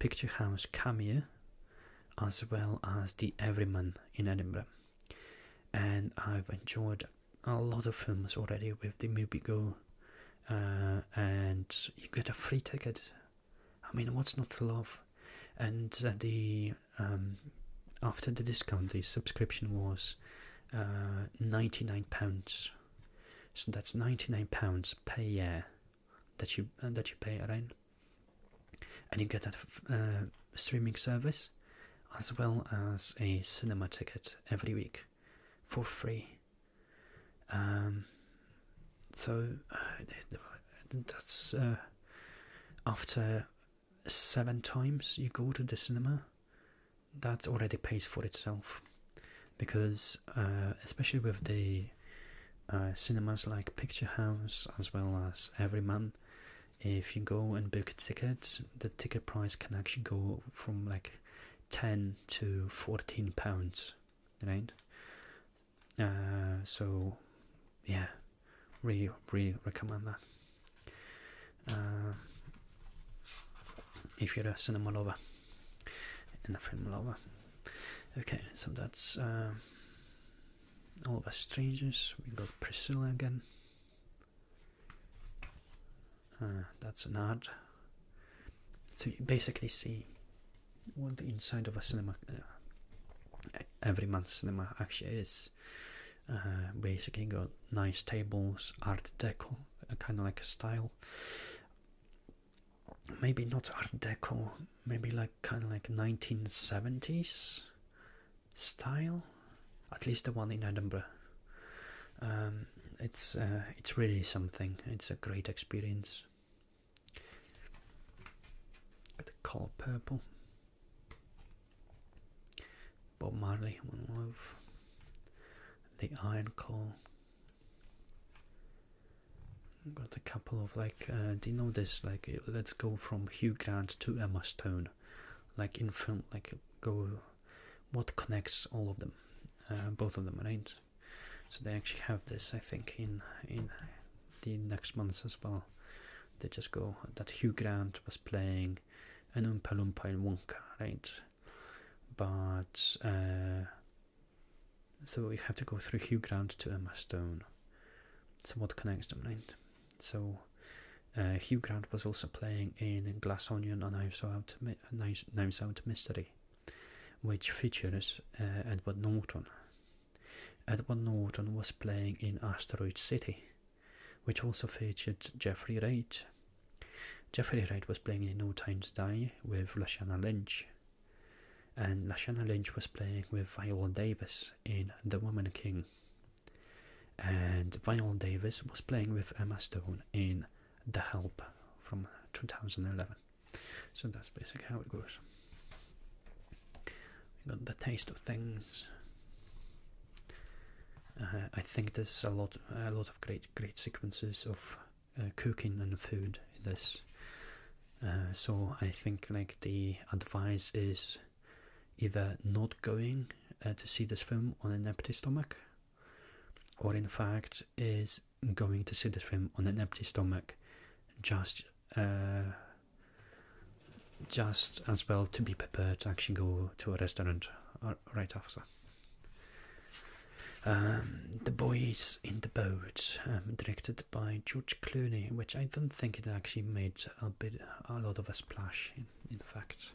Picturehouse House as well as the Everyman in Edinburgh and I've enjoyed a lot of films already with the movie uh, and you get a free ticket. I mean, what's not to love? And uh, the um, after the discount, the subscription was uh, ninety nine pounds. So that's ninety nine pounds per year that you that you pay around and you get a uh, streaming service as well as a cinema ticket every week for free. Um, so uh, that's uh, after seven times you go to the cinema, that already pays for itself because, especially with the cinemas like Picturehouse, as well as Everyman, if you go and book tickets, the ticket price can actually go from like 10 to 14 pounds, right? Uh, so, yeah, really, really recommend that. Uh, if you're a cinema lover and a film lover. Okay, so that's uh, all Oliver strangers. we got Priscilla again. Ah, that's an ad. So you basically see what the inside of a cinema, uh, every month's cinema actually is. Uh, basically got nice tables, art deco, uh, kind of like a style. Maybe not art deco, maybe like kind of like 1970s style, at least the one in Edinburgh. Um, it's uh, it's really something. It's a great experience. Got the color purple. Bob Marley, One Love. The Iron Claw. Got a couple of like they uh, know this like let's go from Hugh Grant to Emma Stone like in film like go what connects all of them uh, both of them right so they actually have this I think in in the next months as well they just go that Hugh Grant was playing an Oompa in Wonka right but uh, so we have to go through Hugh Grant to Emma Stone so what connects them right so uh, Hugh Grant was also playing in Glass Onion: A Knives Out, Out Mystery, which features uh, Edward Norton. Edward Norton was playing in Asteroid City, which also featured Jeffrey Wright. Jeffrey Wright was playing in No Time to Die with Lashana Lynch, and Lashana Lynch was playing with Viola Davis in The Woman King. And vinyl Davis was playing with Emma Stone in The Help from 2011. So that's basically how it goes. got the taste of things. Uh, I think there's a lot, a lot of great, great sequences of uh, cooking and food this. Uh, so I think like the advice is either not going uh, to see this film on an empty stomach, or in fact, is going to see this film on an empty stomach just. Uh, just as well to be prepared to actually go to a restaurant uh, right after. Um, the Boys in the Boat, um, directed by George Clooney, which I don't think it actually made a bit a lot of a splash. In, fact,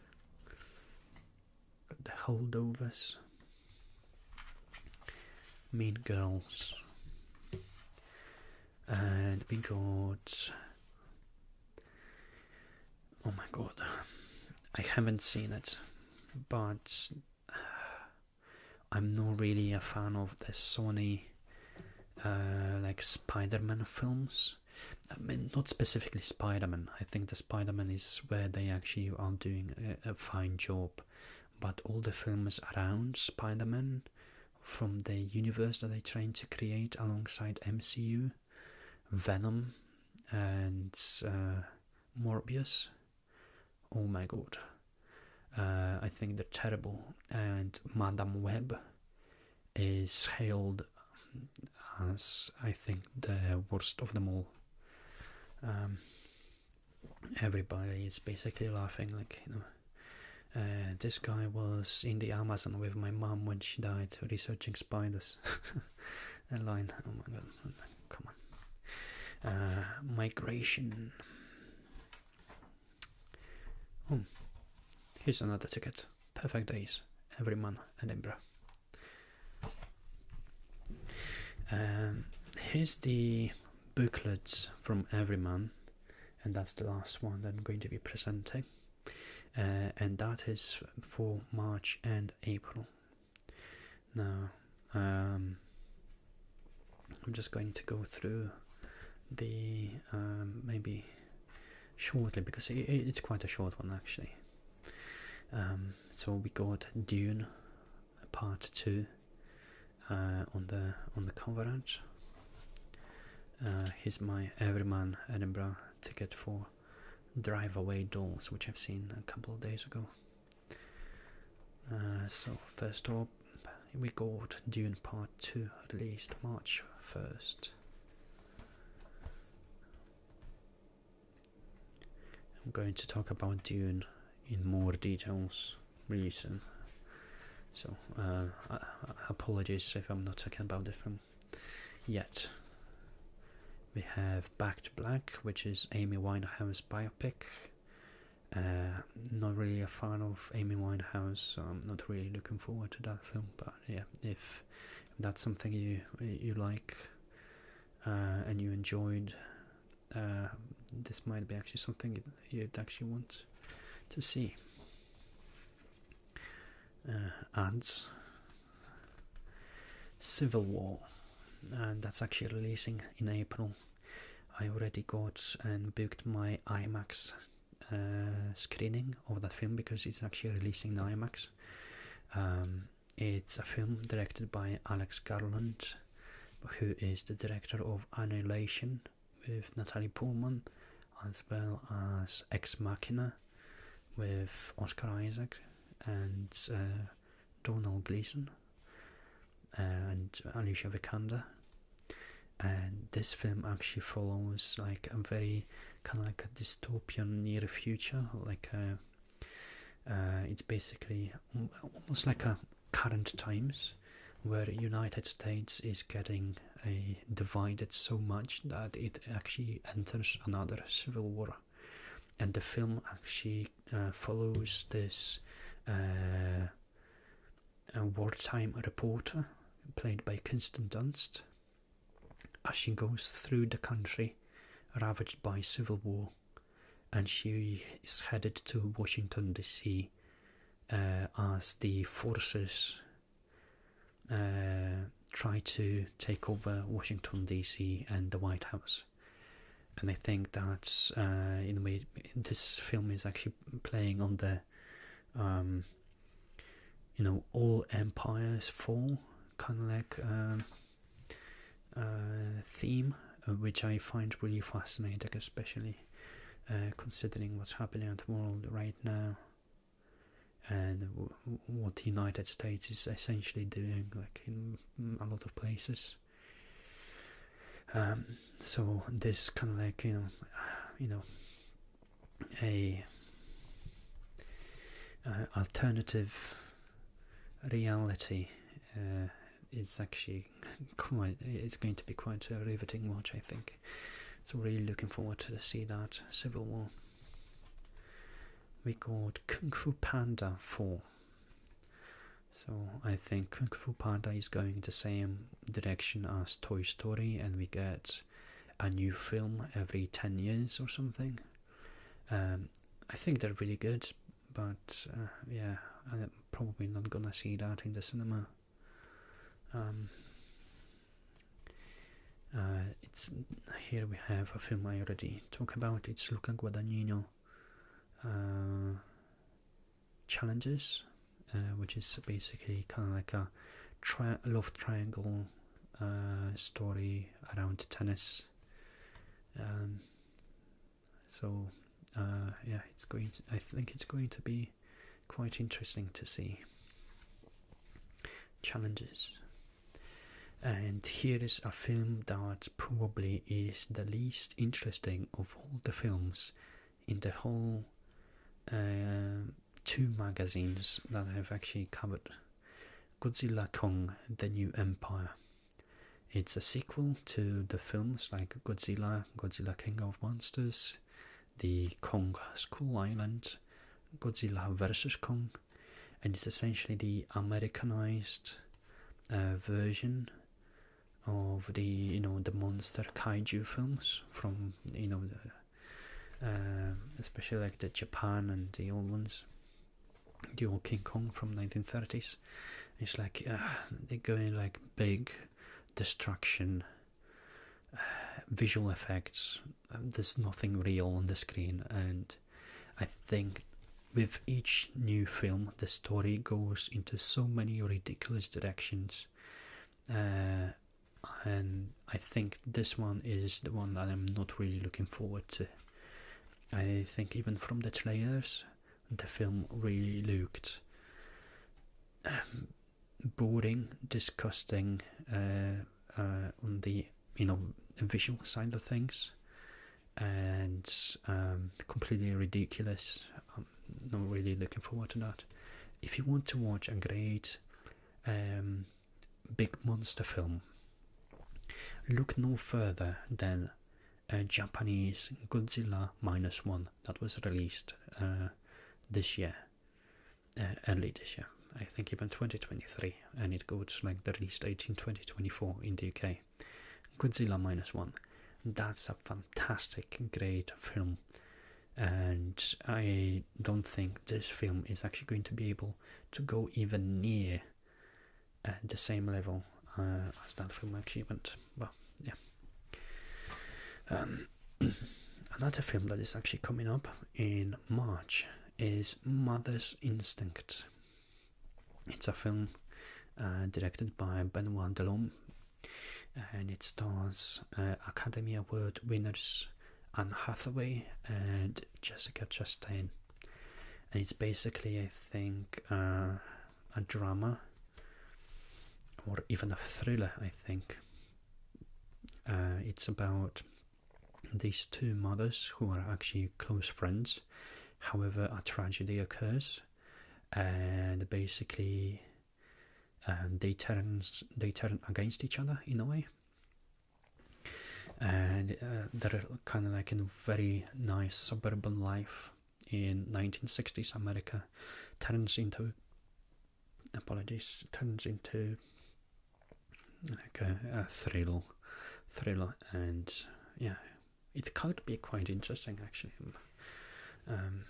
the holdovers, Mean Girls, and we got. Oh my god, I haven't seen it, but I'm not really a fan of the Sony uh, like Spider-Man films. I mean, not specifically Spider-Man. I think the Spider-Man is where they actually are doing a, fine job, but all the films around Spider-Man, from the universe that they're trying to create alongside MCU, Venom, and uh, Morbius. Oh my god. Uh, I think they're terrible. And Madame Web is hailed as I think the worst of them all. Um, everybody is basically laughing, like uh, this guy was in the Amazon with my mom when she died researching spiders. A line, oh my god, come on. Uh, migration. Hmm. here's another ticket. Perfect days every month, Edinburgh. Um, here's the booklets from every month, and that's the last one I'm going to be presenting. Uh, and that is for March and April. Now, um, I'm just going to go through the um, maybe shortly because it's quite a short one actually. Um, so we got Dune Part Two uh, on the on the coverage. Uh, here's my Everyman Edinburgh ticket for Drive Away Dolls, which I've seen a couple of days ago. Uh, so first up, up we got Dune Part 2 at least March 1st. I'm going to talk about Dune in more details really soon. So, uh, uh, uh, apologies if I'm not talking about it from yet. We have Back to Black, which is Amy Winehouse's biopic not really a fan of Amy Winehouse, I'm not really looking forward to that film. But yeah, if, that's something you you like uh, and you enjoyed, uh, this might be actually something you'd actually want to see. Uh, and Civil War, and that's actually releasing in April. I already got and booked my IMAX uh, screening of that film because it's actually releasing in IMAX. Um, it's a film directed by Alex Garland, who is the director of Annihilation with Natalie Pullman, as well as Ex Machina with Oscar Isaac and uh, Donald Gleason uh, and Alicia Vikander and this film actually follows like a very kind of like a dystopian near future like uh, uh, it's basically almost like a current times where united states is getting a divided so much that it actually enters another civil war and the film actually uh, follows this a wartime reporter played by Kinston Dunst as she goes through the country ravaged by civil war and she is headed to Washington DC uh, as the forces uh, try to take over Washington DC and the White House. And I think that's uh, in a way this film is actually playing on the um, you know all empires fall kind of like um, uh, theme uh, which I find really fascinating especially uh, considering what's happening in the world right now and what the United States is essentially doing like in a lot of places um, so this kind of like you know you know a alternative reality uh, is actually quite it's going to be quite a riveting watch I think so really looking forward to see that Civil War we got Kung Fu Panda 4 so I think Kung Fu Panda is going to say him direction as Toy Story, and we get a new film every 10 years or something. Um, I think they're really good, but uh, yeah, I'm probably not gonna see that in the cinema. Um, uh, it's here we have a film I already talk about. It's Luca Guadagnino. Uh, challenges, uh, which is basically kind of like a love triangle uh, story around tennis. Um, so uh, yeah, it's going. I think it's going to be quite interesting to see challenges. And here is a film that probably is the least interesting of all the films in the whole two magazines that have actually covered Godzilla Kong The New Empire. It's a sequel to the films like Godzilla, Godzilla King of Monsters, The Kong School Island, Godzilla versus Kong, and it's essentially the Americanized uh, version of the you know the monster kaiju films from you know the um, especially like the Japan and the old ones, the old King Kong from 1930s. It's like uh, they're going like big destruction, uh, visual effects. Uh, there's nothing real on the screen, and I think with each new film, the story goes into so many ridiculous directions and I think this one is the one that I'm not really looking forward to. I think even from the trailers, the film really looked um, boring, disgusting uh, uh, on the you know visual side of things, and um, completely ridiculous I'm not really looking forward to that. If you want to watch a great um, big monster film, look no further than a uh, Japanese Godzilla Minus One that was released uh, this year, uh, early this year. I think even 2023, and it goes like the release date in 2024 in the UK. Godzilla Minus One. That's a fantastic, great film and I don't think this film is actually going to be able to go even near uh, the same level uh, as that film achievement. Well, yeah. Um, another film that is actually coming up in March is Mother's Instinct. It's a film uh, directed by Benoit Delhomme and it stars uh, Academy Award winners Anne Hathaway and Jessica Chastain. And it's basically, I think, uh, a drama or even a thriller, I think. Uh, it's about these two mothers who are actually close friends. However, a tragedy occurs, and basically, and um, they turn they turn against each other in a way. And uh, that kind of like a very nice suburban life in 1960s America turns into apologies turns into like a, a thriller and yeah it could be quite interesting actually um,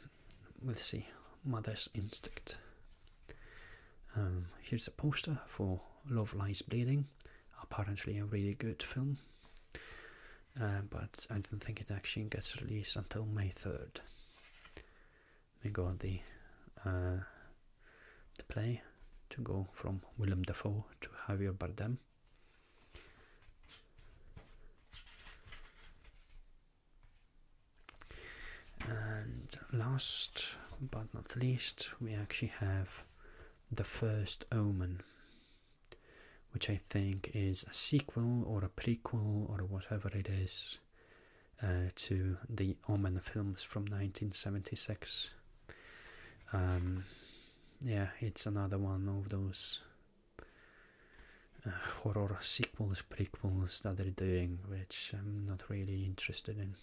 we'll see. Mother's Instinct. Um, here's a poster for Love Lies Bleeding. Apparently, a really good film, uh, but I don't think it actually gets released until May 3rd. We got the, uh, the play to go from Willem Dafoe to Javier Bardem. And last but not least, we actually have The First Omen, which I think is a sequel or a prequel or whatever it is uh, to the Omen films from 1976. Um, yeah, it's another one of those horror sequels, prequels that they're doing, which I'm not really interested in.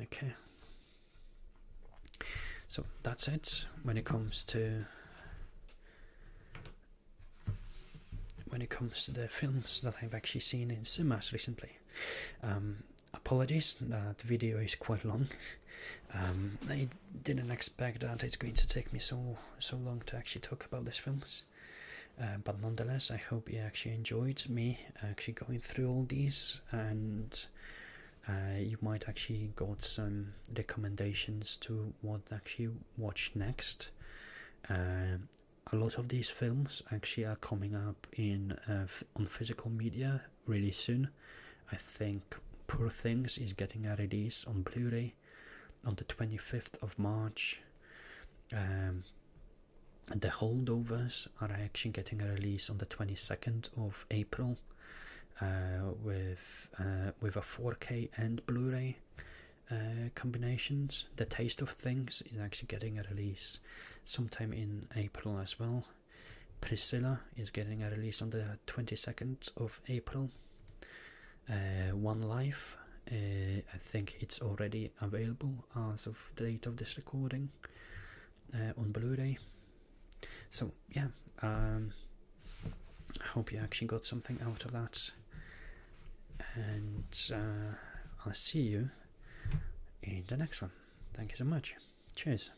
Okay, so that's it when it comes to when it comes to the films that I've actually seen in cinemas recently. Um, apologies, that video is quite long. Um, I didn't expect that it's going to take me so so long to actually talk about these films, uh, but nonetheless, I hope you actually enjoyed me actually going through all these, and uh, you might actually got some recommendations to what actually watch next. Uh, a lot of these films actually are coming up in on physical media really soon. I think Poor Things is getting a release on Blu-ray on the 25th of March. Um, the holdovers are actually getting a release on the 22nd of April uh, with uh, with a 4K and Blu-ray uh, combinations. The Taste of Things is actually getting a release sometime in April as well. Priscilla is getting a release on the 22nd of April uh, One Life. Uh, I think it's already available as of the date of this recording uh, on Blu-ray. So yeah, um, I hope you actually got something out of that, and uh, I'll see you in the next one. Thank you so much. Cheers.